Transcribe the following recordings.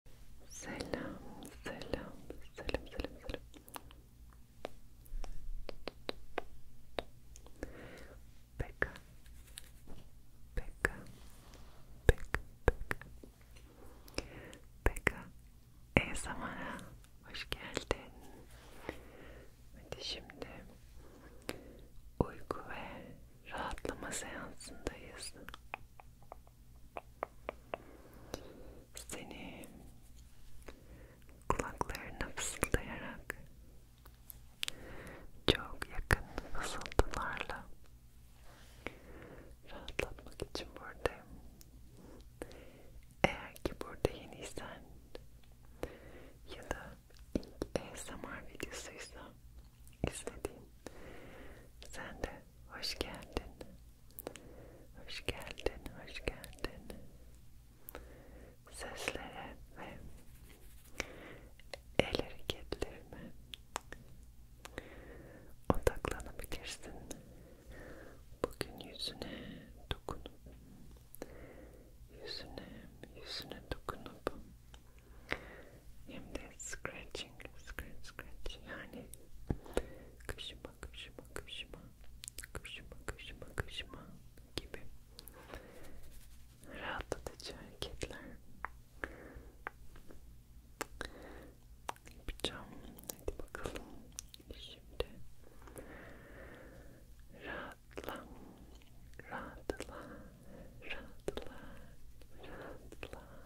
Selam, selam, selam, selam, selam. Peka, peka, peka, peka. Peka, zamana hoş geldin. Hadi şimdi uyku ve rahatlama seansındayız. Seni kulaklarına fısıldayarak çok yakın fısıltılarla rahatlatmak için buradayım. Eğer ki burada yeniysen ya da ilk ASMR videosuysa istediğin. Sen de hoş geldin. Hoş geldin, hoş geldin. Seslere ve el hareketlerime odaklanabilirsin. Bugün yüzüne dokunup, yüzüne, yüzüne dokunup hem de scratching, scratch, scratch yani kışıma, kışıma, kışıma, kışıma, kışıma, kışıma gibi rahatlatıcı hareketler yapacağım. Hadi bakalım. Şimdi rahatla, rahatla, rahatla, rahatla.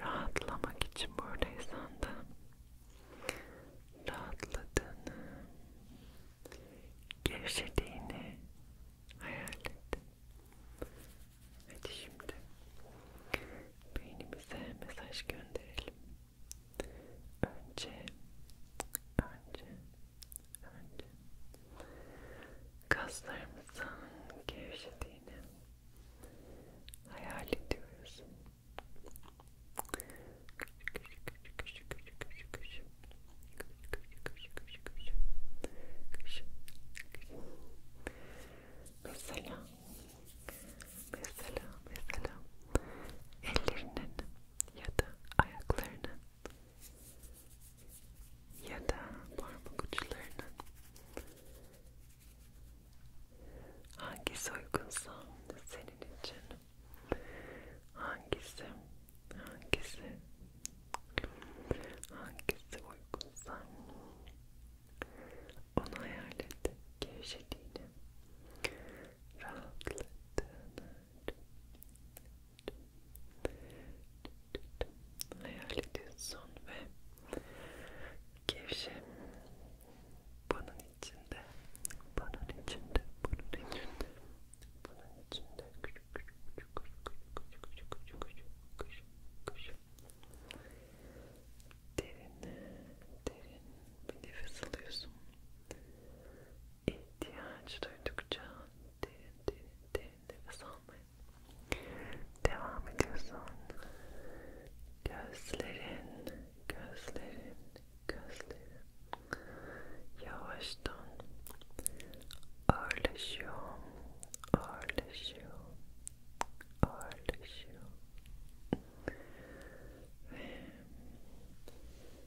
Rahatlamak için buradaysan da rahatladığını, gevşediğini hayal et. Hadi şimdi beynimize mesaj gönderelim. Önce, önce önce kaslarımızın gevşediğini hayal ediyoruz. Mesela, mesela, mesela ellerinin ya da ayaklarının ya da parmak uçlarının hangisi uygunsa senin için hangisi hangisi hangisi uygunsa onu hayal et gevşediğini rahatladığını hayal ediyorsun ve gevşe bunun içinde bunun içinde bunun içinde bunun içinde küçük küçük küçük küçük küçük küçük küçük küçük derin derin bir nefes alıyorsun ihtiyaç duydukça derin derin derin nefes almaya devam ediyorsun. Gözlerin, gözlerin, gözlerin yavaştan ağırlaşıyor, ağırlaşıyor, ağırlaşıyor ve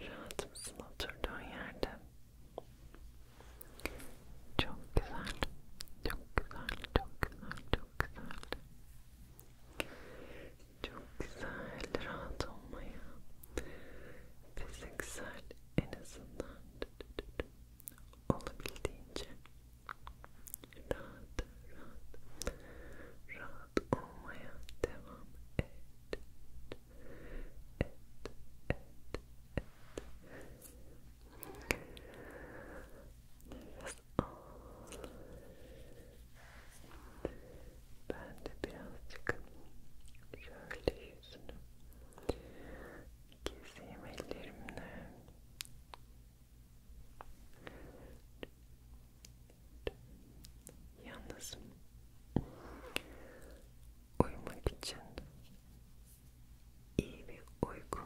Rahat mısın oturduğun yerde? Çok güzel, çok güzel, çok güzel, çok güzel. Çok güzel, rahat olmaya. Fiziksel en azından olabildiğince rahat, rahat, rahat olmaya devam et. it, it, birazcık şöyle yüzünü keseyim ellerimle yalnız uyumak için iyi bir uyku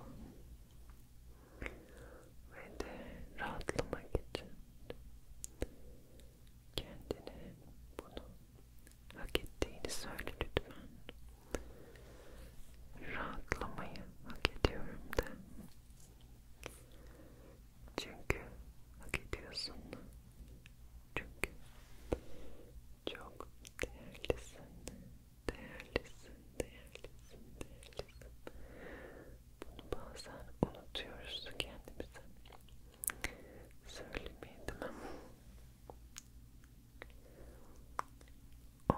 ve de rahatlamak için kendine bunu hak ettiğini söyle lütfen. Rahatlamayı hak ediyorum da. Çünkü hak ediyorsun. Çünkü çok değerlisin, değerlisin, değerlisin, değerlisin. Bunu bazen unutuyoruz kendimize. Söylemeydim ama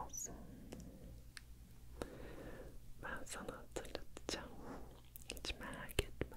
olsun. Ben sana hatırlatacağım. Hiç merak etme.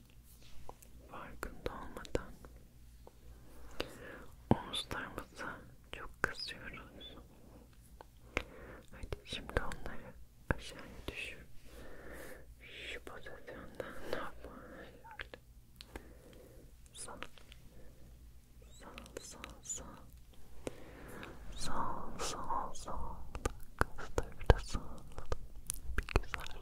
iç farkında olmadan omuzlarımıza çok kızıyoruz. Hadi şimdi onları aşağıya düşür. Şu pozisyondan normal öyle. Sağ, sağ, sağ, sağ, sağ, sağ, sağ, kızları da sağladım. Bir güzel.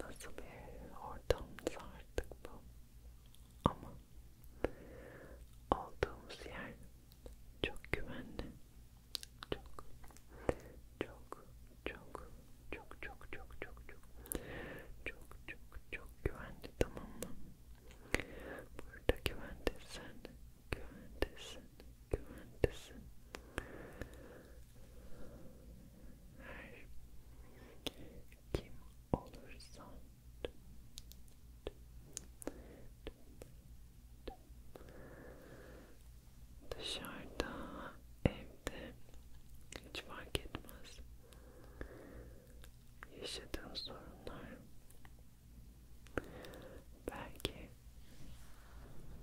nasıl bir ortamdı artık bu ama olduğumuz yer çok güvenli çok çok çok çok çok çok çok çok çok çok çok güvenli tamam mı? Burada güvendesin, güvendesin, güvendesin. Her kim şey olursan şey şey dışarıda, evde hiç fark etmez. Yaşadığın sorunlar belki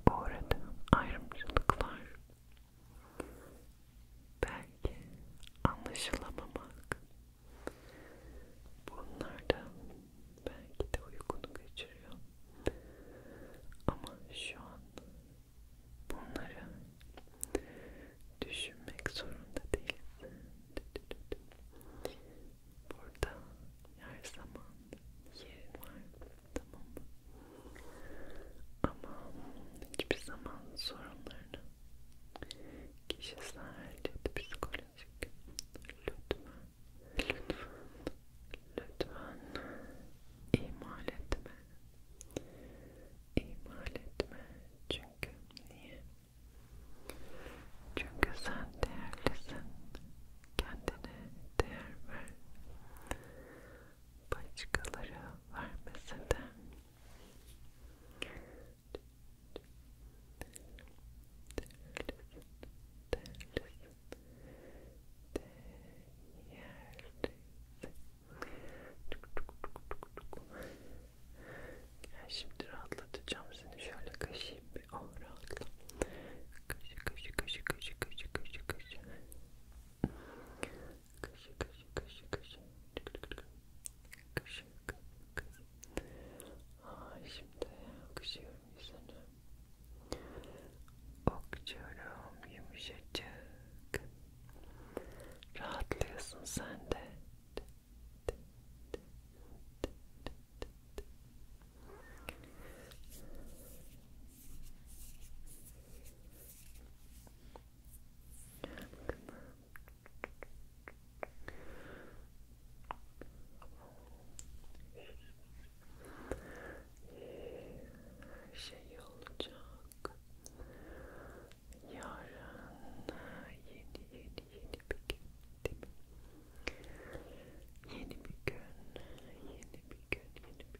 bu arada ayrımcılıklar belki anlaşılamamak bunlar da belki de uykunu kaçırıyor ama şu an bunları düşünmek zorunda değilsin burada her zaman yerin var tamam mı? Ama hiçbir zaman sorunlarını kişisel ya da psikolojik lütfen, lütfen, lütfen ihmal etme. İhmal etme. Çünkü niye? Çünkü sen değerlisin kendine değer ver. Başkaları vermese de. Değerlisin, değerlisin, değerlisin. Şimdi rahatlatacağım seni. Şöyle kaşıyım bir. Oh rahatla. Kaşı kaşı kaşı kaşı kaşı kaşı kaşı kaşı kaşı kaşı kaşı kaşı kaşı kaşı Aa, şimdi okşuyorum yüzünü okşuyorum yumuşacık rahatlıyorsun sen de şey olacak yarın yeni yeni yeni bir gün değil mi? yeni bir gün yeni bir gün yeni bir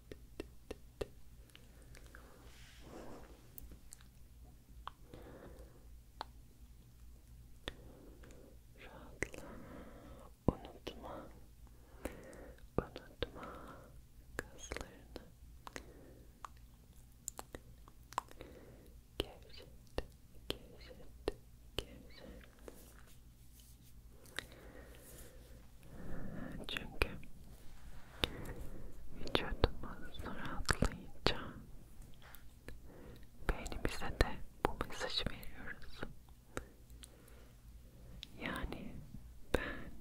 Rahatla, unutma, unutma kaslarını. Gevşet, gevşet, gevşet. Çünkü vücudumuz rahatlayınca beynimize de bu mesajı veriyoruz. Yani ben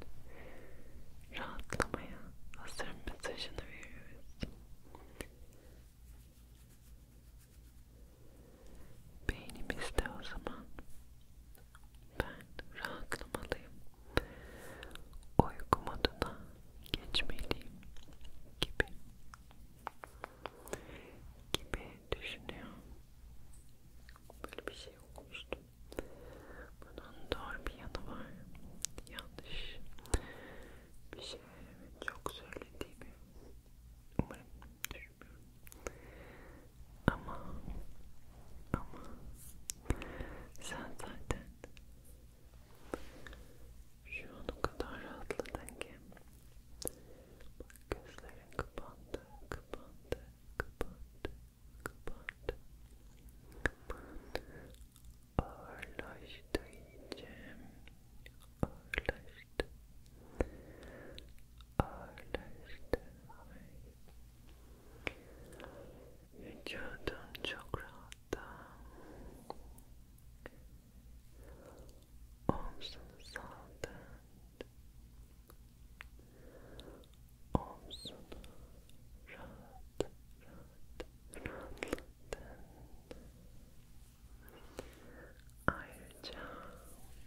rahatlamaya hazırım mesajını veriyoruz beynimizde o zaman ben rahatlamalıyım uyku moduna geçmeliyim gibi gibi düşünüyor böyle bir şey okumuştum bunun doğru bir yanı var yanlış bir şey çok söylediğimi umarım düşünmüyorum ama ama sen zaten şu an o kadar rahatladın ki bak gözlerin kapandı, kapandı, kapandı, kapandı ağırlaştı iyice ağırlaştı Understand. Vücudun çok rahatta. Omzunu saldın. Omzunu rahat, rahat, rahatlattın. Ayrıca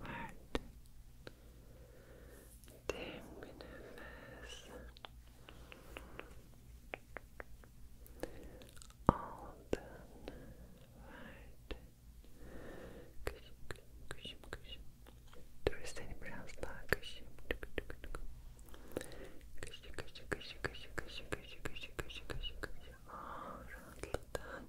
verdin. Derin bir nefes aldın, verdin. Kışım, kışım, kışım. Dur seni biraz daha kışım. Kışı, kışı, kışı, kışı, kışı, kışı, kışı, kışı, kışı, kışı. Aa, rahatladın.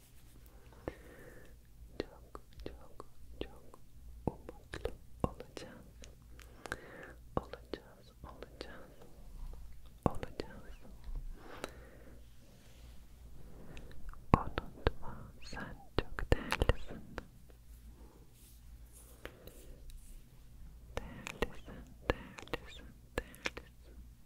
Çok çok çok umutlu olacağız. Olacağız, olacağız, olacağız. Unutma sen çok değerlisin. Değerlisin, değerlisin, değerlisin.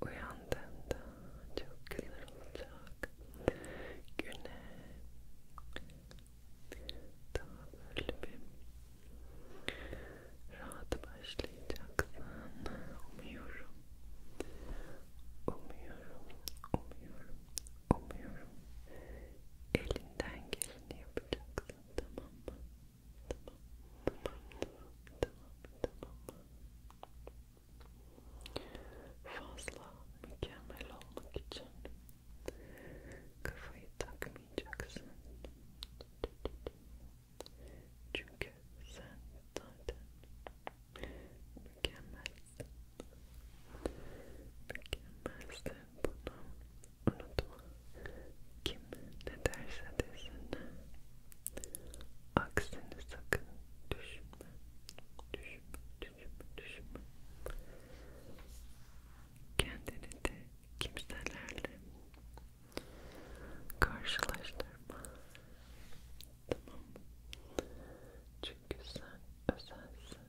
Uyandığında çok güzel olacak. Güne daha böyle bir rahat başlayacaksın. Umuyorum. Umuyorum. Umuyorum. Umuyorum. Elinden geleni yapacaksın. Tamam mı? Tamam. Tamam. Tamam. Tamam. Fazla mükemmel olmak için kafayı takmayacaksın. Çünkü sen zaten mükemmelsin. Mükemmelsin bunu unutma kim ne derse desin aksini sakın düşünme düşünme düşünme düşünme kendini de kimselerle karşılaştırma tamam mı? çünkü sen özelsin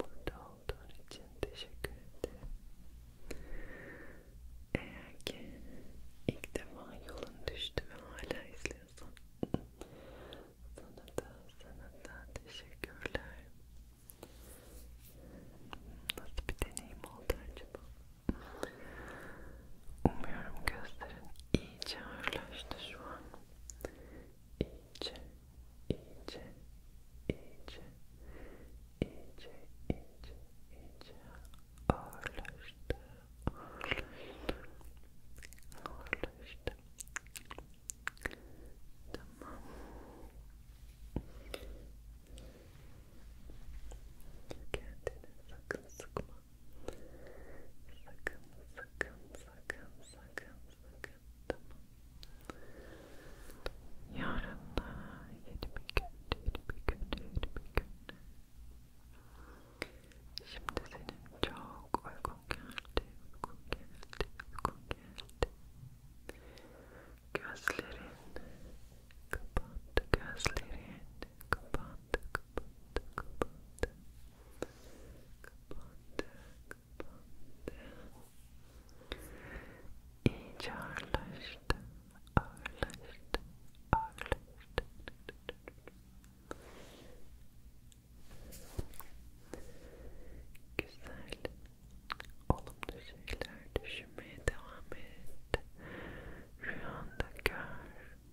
Burada olduğun için teşekkür ederim. Eğer ki ilk defa yolun düştü ve hala izliyorsan sana da sana da teşekkürler. Nasıl bir deneyim oldu acaba? Umuyorum gözlerin iyice ağırlaştı şu an. İyice, iyice, iyice, iyice, iyice, iyice ağırlaştı, ağırlaştı, ağırlaştı. Tamam. Kendini sakın sıkma. Sakın, sakın, sakın, sakın, sakın. Yarın yeni bir gün, yeni bir gün, yeni bir gün. Şimdi senin çok uygun geldi, uygun geldi, uygun geldi. Gözlerin kapandı, gözlerin kapandı, kapandı, kapandı. kapandı, İyice ağırlaştı, ağırlaştı, ağırlaştı. Güzel, olumlu şeyler düşünmeye devam et. Rüyanda gör,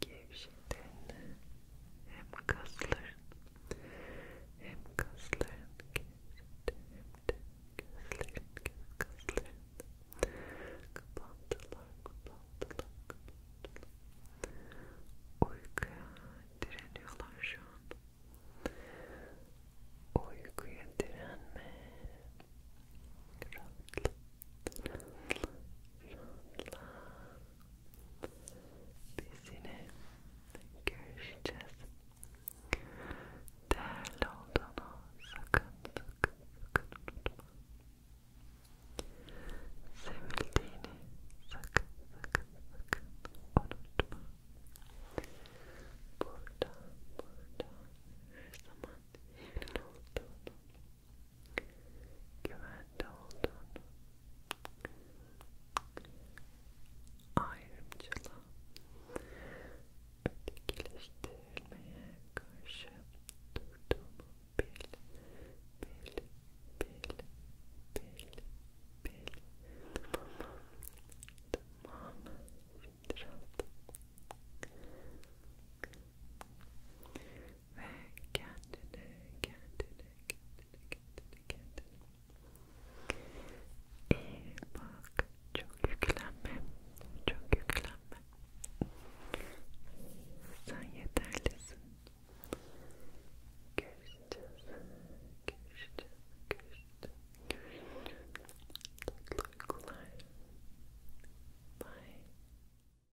gevşediğini hem kasların hem kasların gevşediğini hem de gözlerin göz kasların kapandılar kapandılar kapandılar uykuya direniyorlar şu an uykuya direnme rahatlık Bizine görüşeceğiz. Değerli olduğunu sakın sakın unutma. Sevildiğini sakın sakın unutma. Burada, burada her zaman evin olduğunu güvende olduğunu, ayrımcılığa, ötekileştirilmeye karşı durduğumu bil, bil, bil, bil, bil, tamam, tamam, şimdi rahat. Ve kendine, kendine, kendine, kendine, kendine. İyi bak, çok yüklenme, çok yüklenme. Sen yeterlisin. Görüşeceğiz, görüşeceğiz, görüşeceğiz, görüşeceğiz. Tatlı uykular. Bye.